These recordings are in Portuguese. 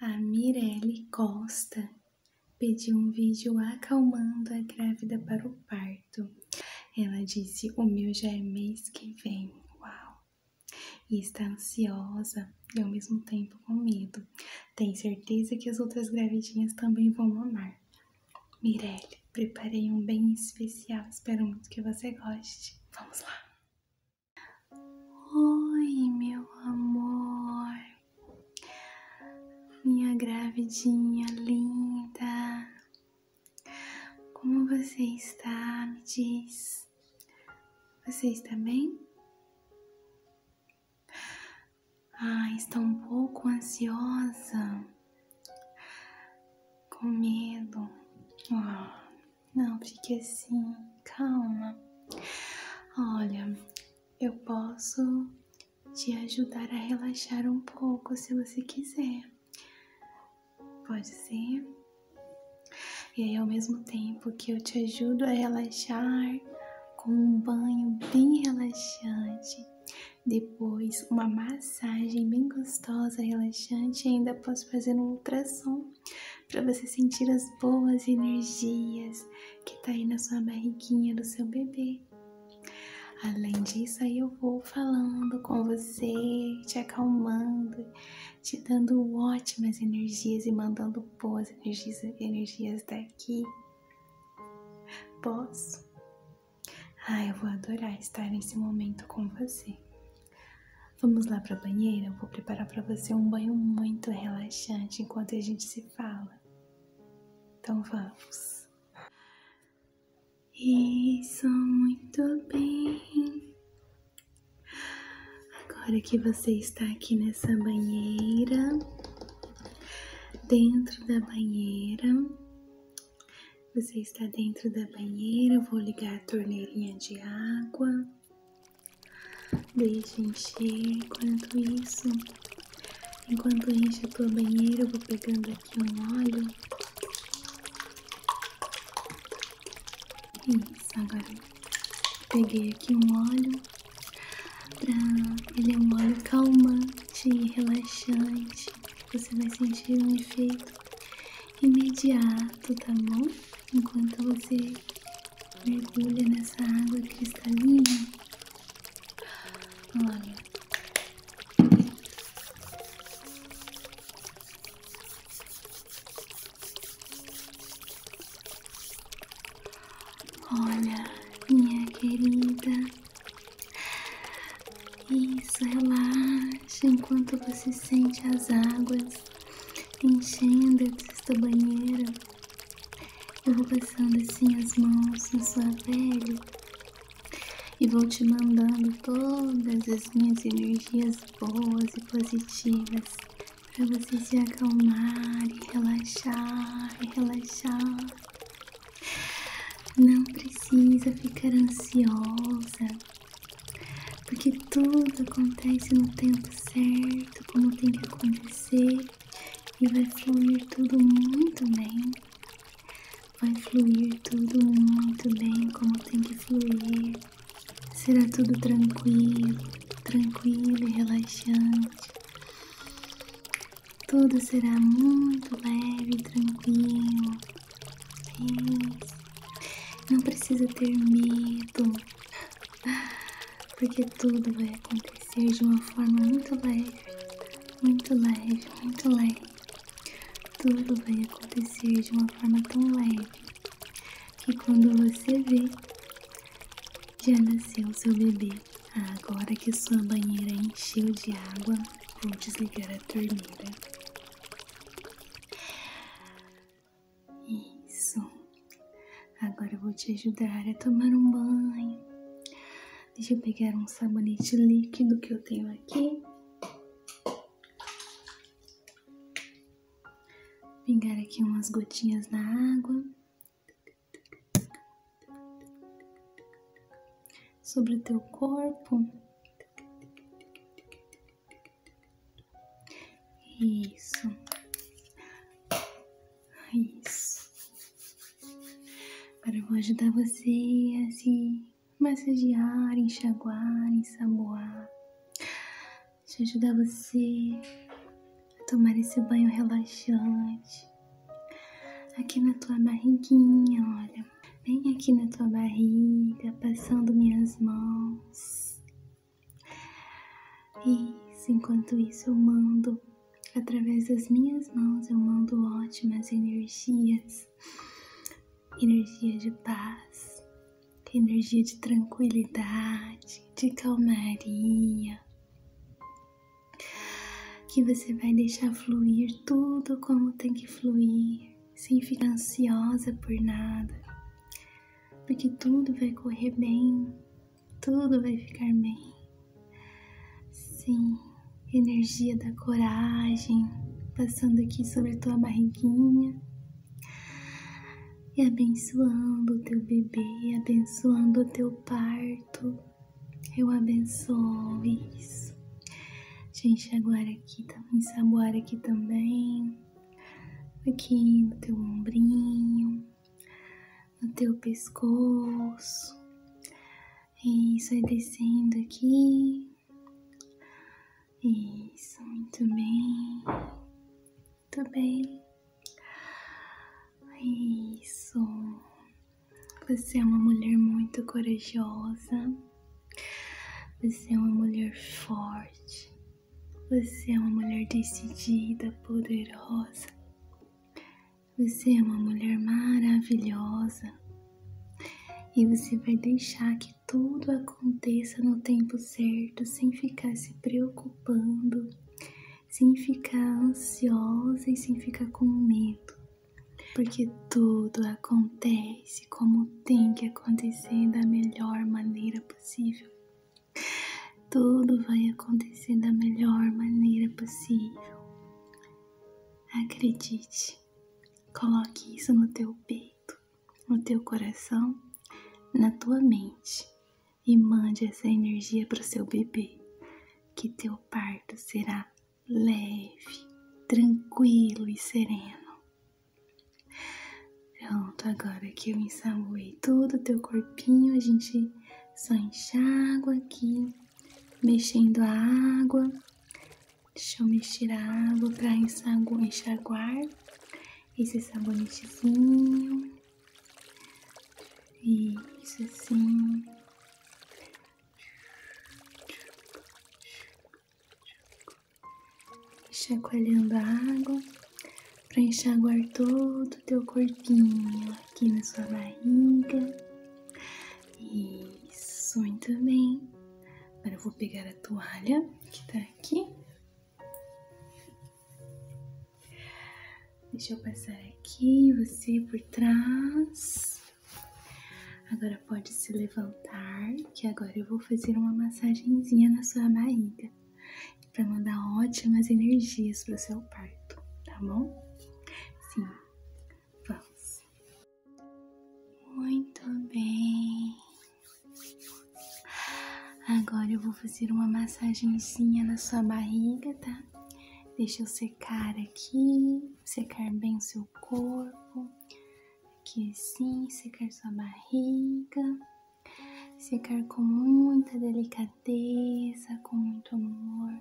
A Mirelle Costa pediu um vídeo acalmando a grávida para o parto. Ela disse: O meu já é mês que vem. Uau! E está ansiosa e ao mesmo tempo com medo. Tenho certeza que as outras gravidinhas também vão amar. Mirelle, preparei um bem especial. Espero muito que você goste. Vamos lá! Oi, meu amor, minha gravidinha linda, como você está? Me diz, você está bem? Ah, está um pouco ansiosa, com medo. Ah. Não fique assim, calma. Olha, eu posso te ajudar a relaxar um pouco se você quiser. Pode ser? E aí, ao mesmo tempo que eu te ajudo a relaxar com um banho bem relaxante, depois uma massagem bem gostosa, relaxante, ainda posso fazer um ultrassom para você sentir as boas energias que está aí na sua barriguinha do seu bebê. Além disso, aí eu vou falando com você, te acalmando, te dando ótimas energias e mandando boas energias, energias daqui. Posso? Ah, eu vou adorar estar nesse momento com você. Vamos lá para a banheira? Eu vou preparar para você um banho muito relaxante enquanto a gente se fala. Então vamos. Isso, muito bem. Agora que você está aqui nessa banheira, dentro da banheira, você está dentro da banheira, vou ligar a torneirinha de água. Deixa encher enquanto isso. Enquanto enche a tua banheira, eu vou pegando aqui um óleo. Isso, agora peguei aqui um óleo. Pra... Ele é um óleo calmante e relaxante. Você vai sentir um efeito imediato, tá bom? Enquanto você você mergulha nessa água cristalina. Olha. Olha, minha querida. Isso, relaxa enquanto você sente as águas mãos, enchendo esta banheira. Eu vou passando assim as mãos na sua pele e vou te mandando todas as minhas energias boas e positivas para você se acalmar e relaxar e relaxar. Não precisa ficar ansiosa. Porque tudo acontece no tempo certo, como tem que acontecer, e vai fluir tudo muito bem. Vai fluir tudo muito bem, como tem que fluir. Será tudo tranquilo, tranquilo e relaxante. Tudo será muito leve e tranquilo. É isso. Não precisa ter medo, porque tudo vai acontecer de uma forma muito leve, muito leve, muito leve. Tudo vai acontecer de uma forma tão leve que quando você vê, já nasceu seu bebê. Agora que sua banheira encheu de água, vou desligar a torneira. Isso. Agora eu vou te ajudar a tomar um banho. Deixa eu pegar um sabonete líquido que eu tenho aqui. Pingar aqui umas gotinhas na água. Sobre o teu corpo. Isso. Isso. Agora eu vou ajudar você a se massagear, enxaguar, ensaboar. Deixa eu ajudar você a tomar esse banho relaxante. Aqui na tua barriguinha, olha. Bem aqui na tua barriga, passando minhas mãos e enquanto isso eu mando, através das minhas mãos, eu mando ótimas energias, energia de paz, energia de tranquilidade, de calmaria, que você vai deixar fluir tudo como tem que fluir sem ficar ansiosa por nada, porque tudo vai correr bem, tudo vai ficar bem. Sim, energia da coragem passando aqui sobre a tua barriguinha e abençoando o teu bebê, abençoando o teu parto. Eu abençoo isso. gente. Agora aqui, tá, ensaboar aqui também aqui no teu ombrinho, no teu pescoço. Isso, vai descendo aqui. Isso, muito bem. Muito bem. Isso. Você é uma mulher muito corajosa. Você é uma mulher forte. Você é uma mulher decidida, poderosa. Você é uma mulher maravilhosa. E você vai deixar que tudo aconteça no tempo certo, sem ficar se preocupando, sem ficar ansiosa e sem ficar com medo. Porque tudo acontece acontece, como tem que acontecer da melhor maneira possível. Tudo vai acontecer da melhor maneira possível. Acredite. Coloque isso no teu peito, no teu coração, na tua mente e mande essa energia para o seu bebê, que teu parto será leve, tranquilo e sereno. Pronto, agora que eu ensaboei todo o teu corpinho, a gente só enxágua aqui, mexendo a água. Deixa eu mexer a água para enxaguar esse sabonetezinho. Isso assim chacoalhando a água para enxaguar todo o teu corpinho aqui na sua barriga. Isso, muito bem. Agora eu vou pegar a toalha que tá aqui. Deixa eu passar aqui, você por trás. Agora pode se levantar, que agora eu vou fazer uma massagenzinha na sua barriga para mandar ótimas energias para seu parto, tá bom? Sim, vamos. Muito bem. Agora eu vou fazer uma massagenzinha na sua barriga, tá? Deixa eu secar aqui, secar bem o seu corpo Aqui assim, secar sua barriga, secar com muita delicadeza, com muito amor.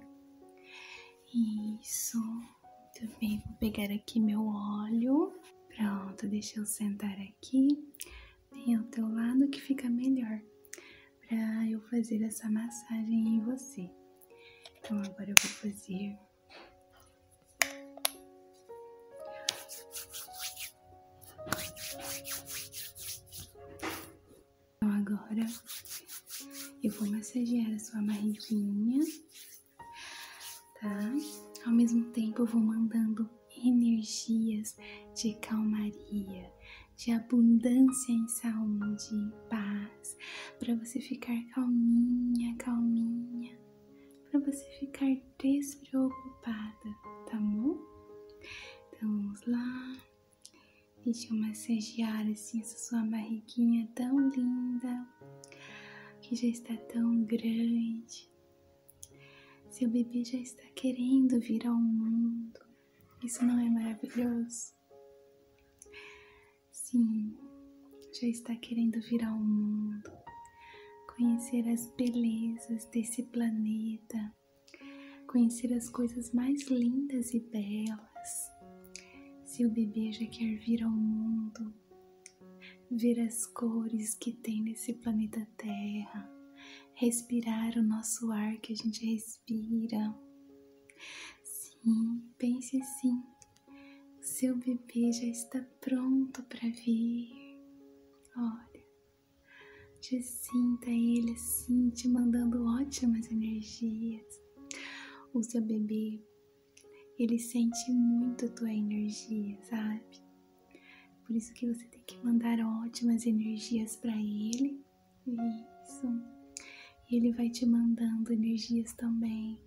Isso, muito bem. Vou pegar aqui meu óleo. Pronto, deixa eu sentar aqui, bem ao teu lado que fica melhor para eu fazer essa massagem em você. Então agora eu vou fazer então agora eu vou massagear a sua barriguinha, tá? Ao mesmo tempo eu vou mandando energias de calmaria, de abundância em saúde, em paz, para você ficar calminha, calminha para você ficar despreocupada, tá bom? Então vamos lá. Deixa eu massagear assim essa sua barriguinha tão linda, que já está tão grande. Seu bebê já está querendo vir ao mundo. Isso não é maravilhoso? Sim, já está querendo vir ao mundo, conhecer as belezas desse planeta, conhecer as coisas mais lindas e belas. Se o bebê já quer vir ao mundo, ver as cores que tem nesse planeta Terra, respirar o nosso ar que a gente respira. Sim, pense sim seu bebê já está pronto para vir. Olha, te sinta ele assim, te mandando ótimas energias. O seu bebê, ele sente muito tua energia, sabe? Por isso que você tem que mandar ótimas energias para ele. Isso. E ele vai te mandando energias também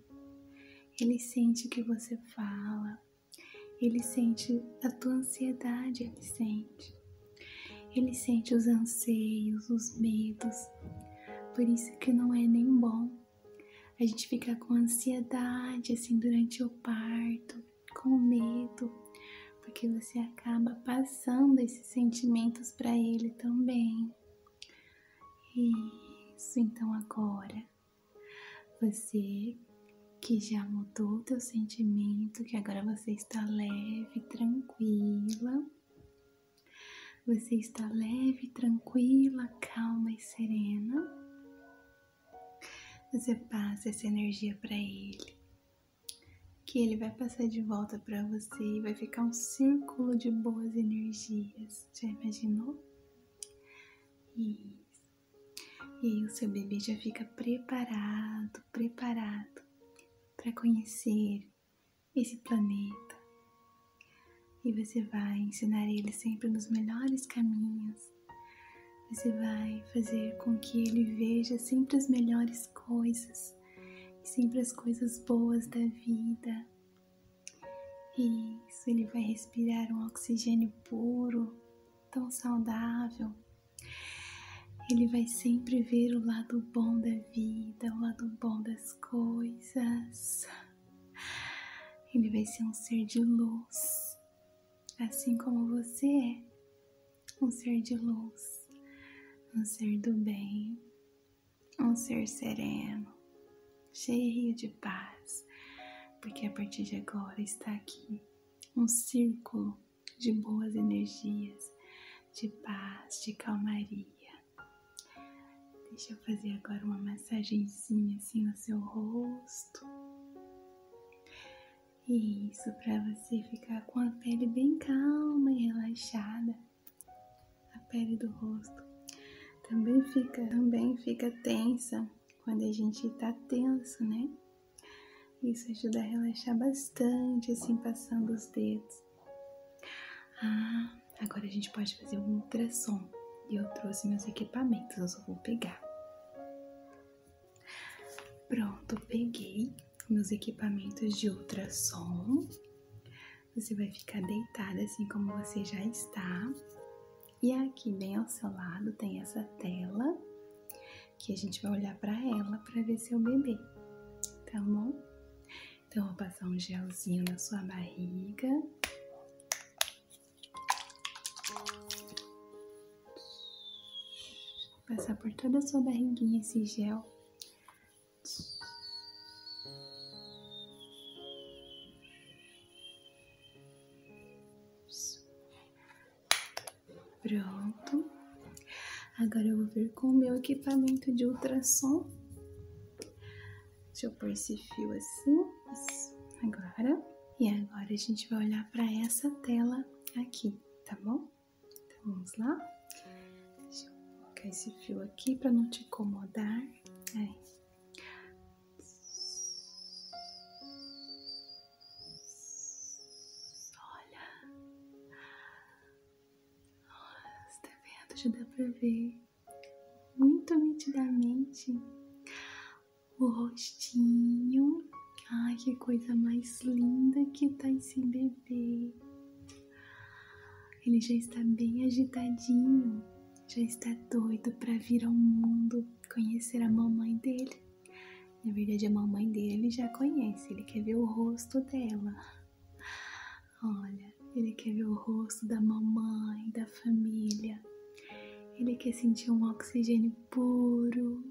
ele sente o que você fala, ele sente a tua ansiedade, ele sente. Ele sente os anseios, os medos. Por isso que não é nem bom a gente ficar com ansiedade assim durante o parto, com medo, porque você acaba passando esses sentimentos para ele também. Isso, então agora você que já mudou o teu sentimento, que agora você está leve, tranquila. Você está leve, tranquila, calma e serena. Você passa essa energia para ele, que ele vai passar de volta para você e vai ficar um círculo de boas energias. Já imaginou? E o seu bebê já fica preparado, preparado para conhecer esse planeta. E você vai ensinar ele sempre nos melhores caminhos. Você vai fazer com que ele veja sempre as melhores coisas, sempre as coisas boas da vida. Isso, ele vai respirar um oxigênio puro, tão saudável. Ele vai sempre ver o lado bom da vida, o lado bom das coisas. Ele vai ser um ser de luz, assim como você é, um ser de luz, um ser do bem, um ser sereno, cheio de paz, porque a partir de agora está aqui um círculo de boas energias, de paz, de calmaria. Deixa eu fazer agora uma massagenzinha assim no seu rosto. Isso, para você ficar com a pele bem calma e relaxada a pele do rosto. Também fica, também fica tensa quando a gente tá tenso, né? Isso ajuda a relaxar bastante, assim, passando os dedos. Ah, agora a gente pode fazer um ultrassom. E eu trouxe meus equipamentos, eu só vou pegar. Pronto, peguei meus equipamentos de ultrassom. Você vai ficar deitada assim como você já está. E aqui bem ao seu lado tem essa tela que a gente vai olhar para ela para ver seu bebê, tá bom? Então eu vou passar um gelzinho na sua barriga. Passar por toda a sua barriguinha esse gel Pronto. Agora eu vou vir com o meu equipamento de ultrassom. Deixa eu pôr esse fio assim. Agora. E agora a gente vai olhar para essa tela aqui, tá bom? Então, vamos lá. Deixa eu colocar esse fio aqui para não te incomodar. Olha. Olha, está vendo? Já dá para ver muito nitidamente o rostinho. Ai, que coisa mais linda que tá esse bebê ele já está bem agitadinho, já está doido para vir ao mundo conhecer a mamãe dele. Na verdade, a mamãe dele já conhece, ele quer ver o rosto dela. Olha, ele quer ver o rosto da mamãe, da família. Ele quer sentir um oxigênio puro.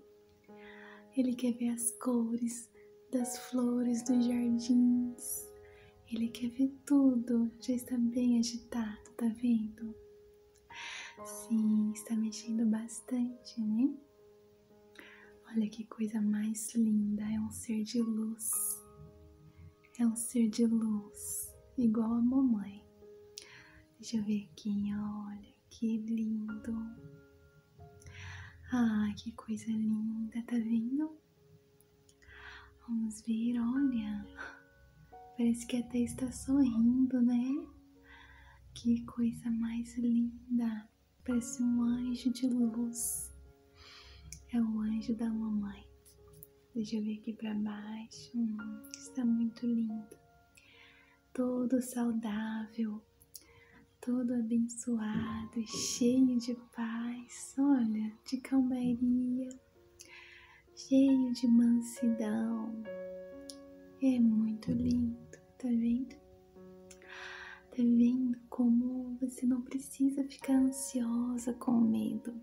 Ele quer ver as cores das flores dos jardins. Ele quer ver tudo, já está bem agitado, tá vendo? Sim, está mexendo bastante, né? Olha que coisa mais linda, é um ser de luz. É um ser de luz, igual a mamãe. Deixa eu ver aqui, olha que lindo. Ah, que coisa linda, tá vendo? Vamos ver, olha. Parece que até está sorrindo, né? Que coisa mais linda. Parece um anjo de luz. É o anjo da mamãe. Deixa eu ver aqui para baixo. Hum, está muito lindo. Todo saudável, todo abençoado, cheio de paz. Olha, de calmaria, cheio de mansidão. É muito lindo, tá vendo? Tá vendo como você não precisa ficar ansiosa com o medo,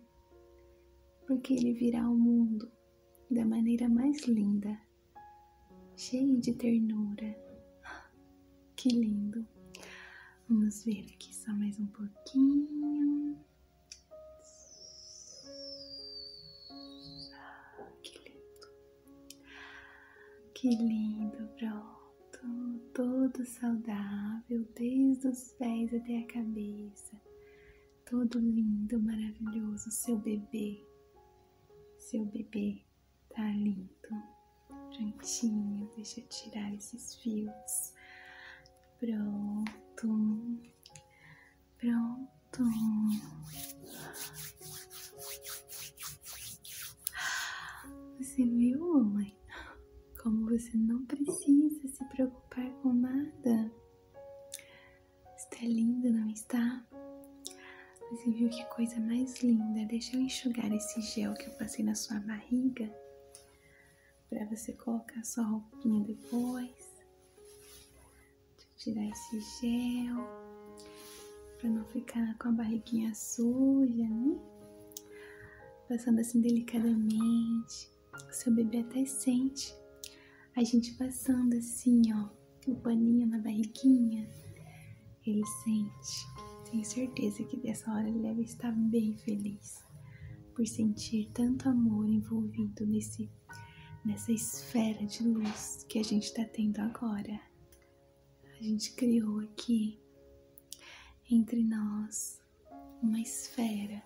porque ele virá ao mundo da maneira mais linda, cheio de ternura. Que lindo! Vamos ver aqui só mais um pouquinho. Ah, que lindo. Que lindo, pronto. Todo saudável, desde os pés até a cabeça. Todo lindo, maravilhoso, seu bebê. Seu bebê tá lindo. Prontinho, deixa eu tirar esses fios. Pronto. Pronto. Você viu, mamãe? Como você não precisa se preocupar com nada. Está é lindo, não está? Você viu que coisa mais linda? Deixa eu enxugar esse gel que eu passei na sua barriga para você colocar sua roupinha depois. Tirar esse gel para não ficar com a barriguinha suja, né? Passando assim delicadamente. O seu bebê até sente a gente passando assim, ó, o paninho na barriguinha. Ele sente. Tenho certeza que dessa hora ele deve estar bem feliz por sentir tanto amor envolvido nesse nessa esfera de luz que a gente está tendo agora. A gente criou aqui entre nós uma esfera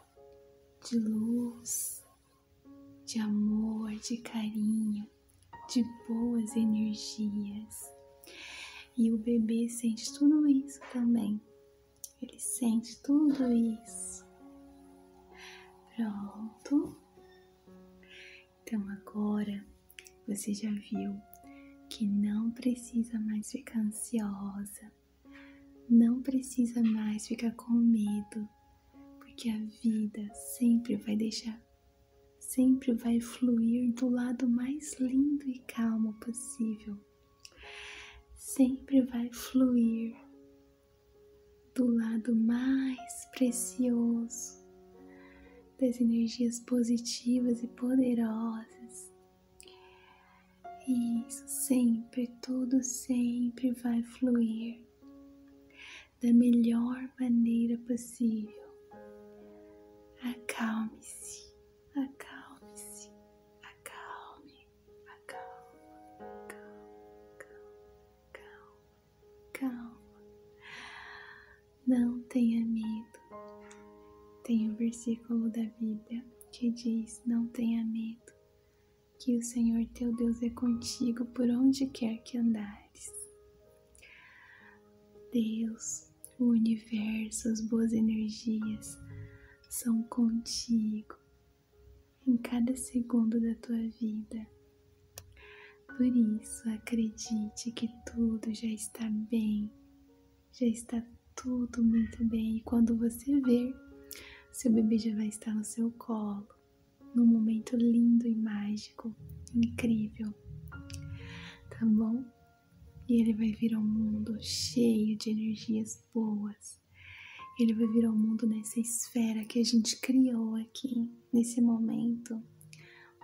de luz, de amor, de carinho, de boas energias. E o bebê sente tudo isso também. Ele sente tudo isso. Pronto. Então agora você já viu que não precisa mais ficar ansiosa, não precisa mais ficar com medo, porque a vida sempre vai deixar, sempre vai fluir do lado mais lindo e calmo possível invisível sempre vai fluir do lado mais precioso das energias positivas e poderosas. E sempre, tudo sempre vai fluir da melhor maneira possível. Acalme-se, acalme-se, acalme, acalme, calma, calma, calma, Não tenha medo. Tem o um versículo da Bíblia que diz: Não tenha medo, que o Senhor teu Deus é contigo por onde quer que andares. Deus, o universo, as boas energias são contigo em cada segundo da tua vida. Por isso, acredite que tudo já está bem, já está tudo muito bem. E quando você ver, seu bebê já vai estar no seu colo, num momento lindo e mágico, incrível. Tá bom? E ele vai vir ao mundo cheio de energias boas. Ele vai vir ao mundo nessa esfera que a gente criou aqui, nesse momento.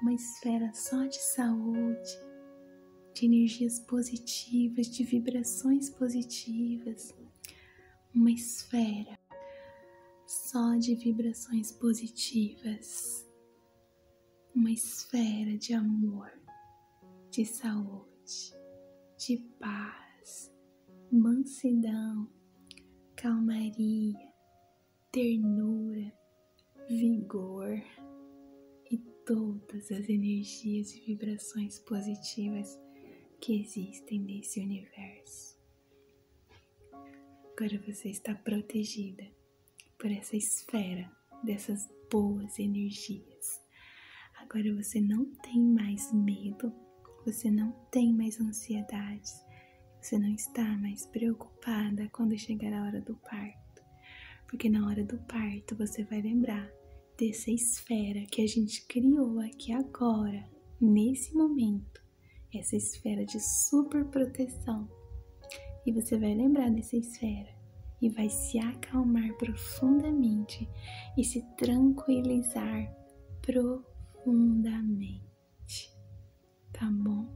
Uma esfera só de saúde, de energias positivas, de vibrações positivas. Uma esfera só de vibrações positivas uma esfera de amor, de saúde, de paz, mansidão, calmaria, ternura, vigor e todas as energias e vibrações positivas que existem nesse universo. Agora você está protegida por essa esfera dessas boas energias. Agora você não tem mais medo, você não tem mais ansiedades, você não está mais preocupada quando chegar a hora do parto, porque na hora do parto você vai lembrar dessa esfera que a gente criou aqui agora, nesse momento, essa esfera de super proteção e você vai lembrar dessa esfera e vai se acalmar profundamente e se tranquilizar profundamente. Tá bom?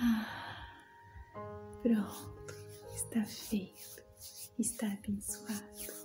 Ah, pronto, está feito, está abençoado.